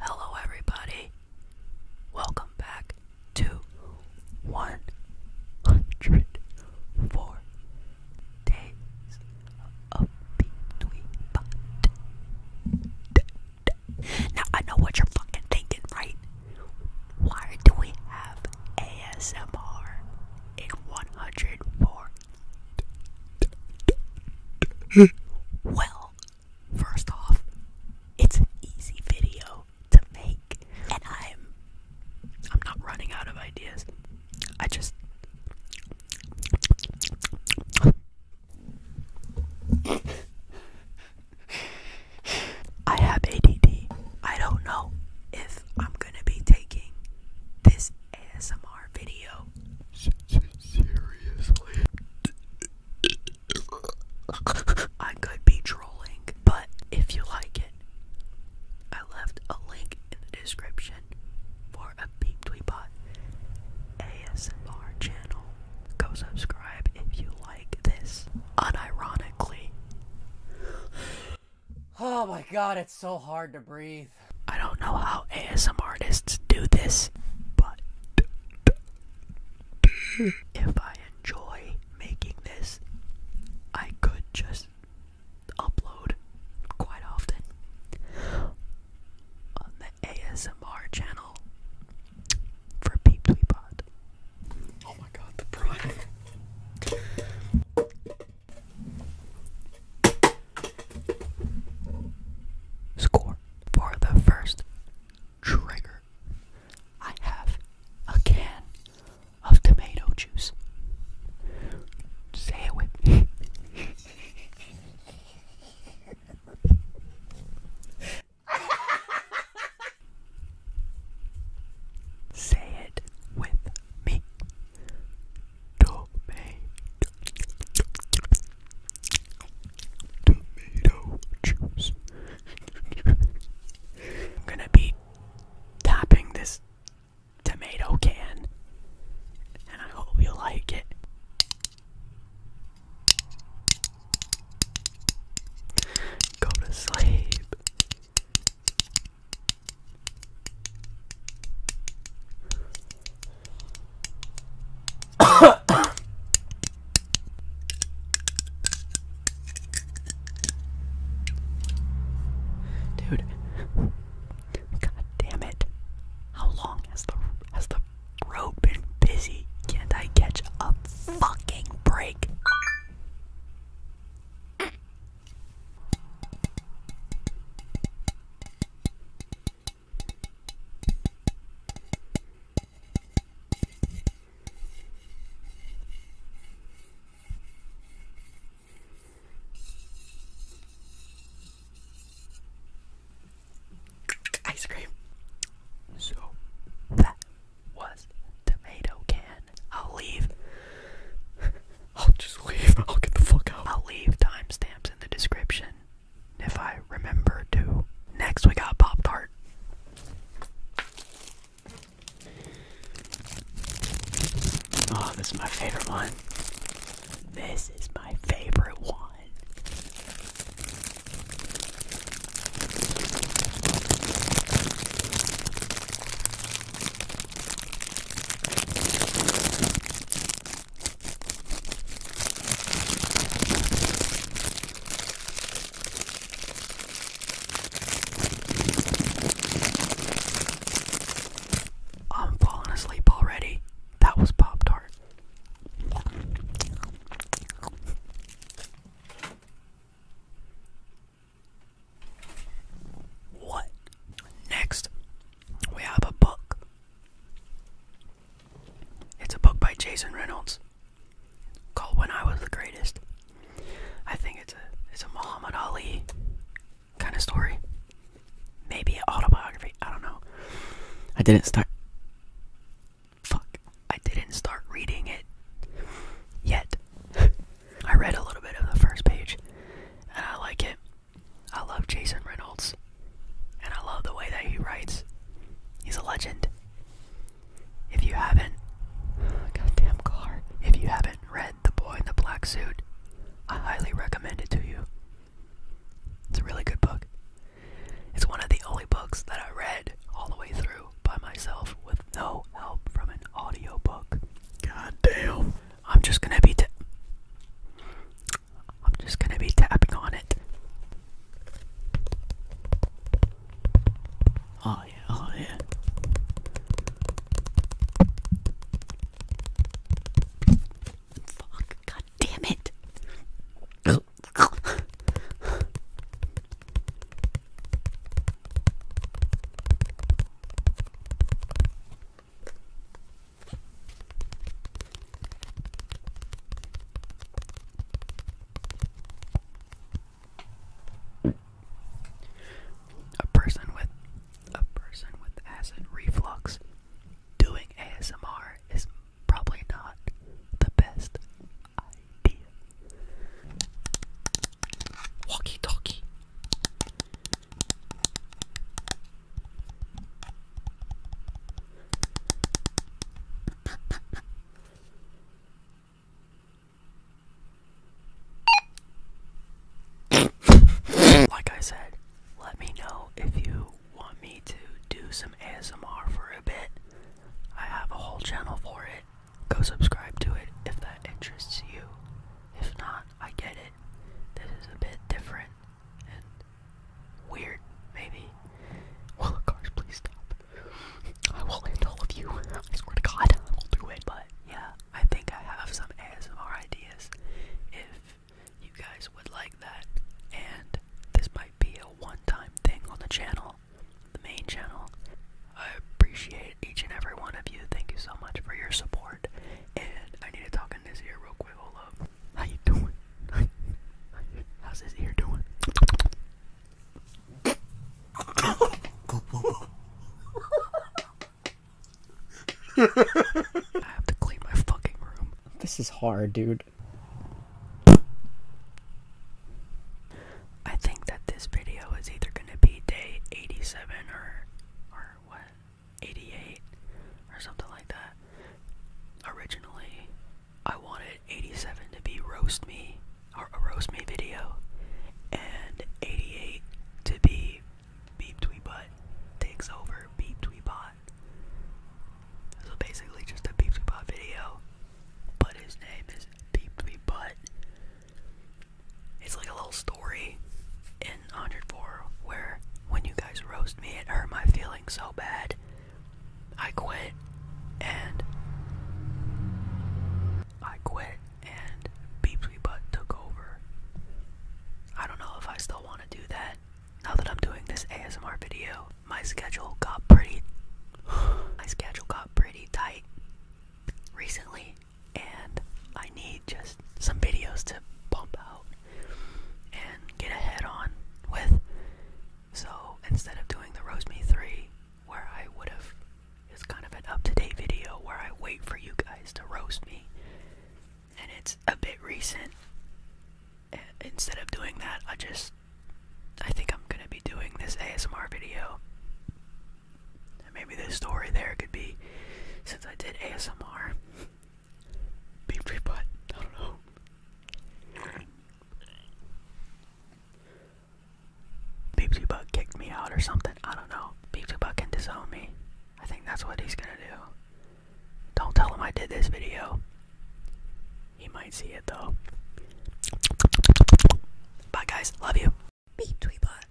Hello, everybody. Welcome back to 104 Days of Between Pot. Now, I know what you're fucking thinking, right? Why do we have ASMR in 104 well, first off, it's an easy video to make, and I'm I'm not running out of ideas. I just I have ADD. I don't know if I'm going to be taking this ASMR video. Seriously. I could be trolling, but if you like it, I left a link in the description for a Beep Tweepot ASMR channel. Go subscribe if you like this. Unironically. Oh my god, it's so hard to breathe. I don't know how ASMR artists do this, but if I enjoy making this, I could just upload quite often on the ASMR channel for PeepSweepod. Oh my god, the pride. Score for the first trigger. I have a can of tomato juice. Say it with me. Say it with me tomato, juice. I'm gonna be tapping this tomato can, and I hope you like it. Go to sleep. Dude, God it! How long has the has the road been busy? Can't I catch a fucking break? Ice cream. So that was tomato can. I'll leave. I'll just leave. I'll get the fuck out. I'll leave timestamps in the description if I remember to. Next, we got Pop Tart. Oh, this is my favorite one. This is my favorite one. I'm falling asleep already. That was Pop Tart. What? Next, we have a book. It's a book by Jason Reynolds called When I Was the Greatest. I think it's a it's a Muhammad Ali kind of story. Maybe autobiography, I don't know. I didn't start fuck, I didn't start reading it yet. I read a little bit of the first page, and I like it. I love Jason Reynolds, and I love the way that he writes. He's a legend. If you haven't, goddamn car, if you haven't read The Boy in the Black Suit, I highly recommend it to you. It's a really good book. It's one of the only books that I read all the way through by myself with no help from an audiobook. God damn. I'm just gonna be. I'm just gonna be tapping on it. Oh yeah, oh yeah. Fuck, god damn it. A person with a person with acid reflux doing ASMR is probably not the best Walkie talkie. like I said, let me know if you want me to do some ASMR for a bit. I have a whole channel for it. Go subscribe to it if that interests you. If not, I get it. This is a bit different and weird, maybe. Well, of course, please stop. I will end all of you. I swear to God, I will do it. But yeah, I think I have some ASMR ideas if you guys would like that. And this might be a one-time thing on the channel, the main channel. I appreciate each and every one of you. Thank you so much for your support. And I need to talk in this ear real quick. Hold How you doing? How's this ear doing? I have to clean my fucking room. This is hard, dude. I think that this video is either going to be day 87 or or what? 88 or something like that. Originally, I wanted 87 to be roast me or a roast me video and 88 to be beep tweet takes over beep tweet so basically just a Peepsy video, but his name is Peepsy It's like a little story in 104 where when you guys roast me, it hurt my feelings so bad. I quit and I quit and Beepsy Butt took over. I don't know if I still want to do that now that I'm doing this ASMR video, my schedule got pretty my schedule got pretty tight recently and I need just some videos to pump out and get ahead on with. So instead of doing the Roast Me 3 where I would have it's kind of an up-to-date video where I wait for you guys to roast me and it's a bit recent. Uh, instead of doing that, I just I think I'm gonna be doing this ASMR video. maybe this story there could be since I did ASMR. Beep beep I don't know. Beepsy Buck kicked me out or something. I don't know. Beepsy Buck can disown me. I think that's what he's gonna do. Don't tell him I did this video. He might see it though. Bye guys, love you. Beat Tweebot.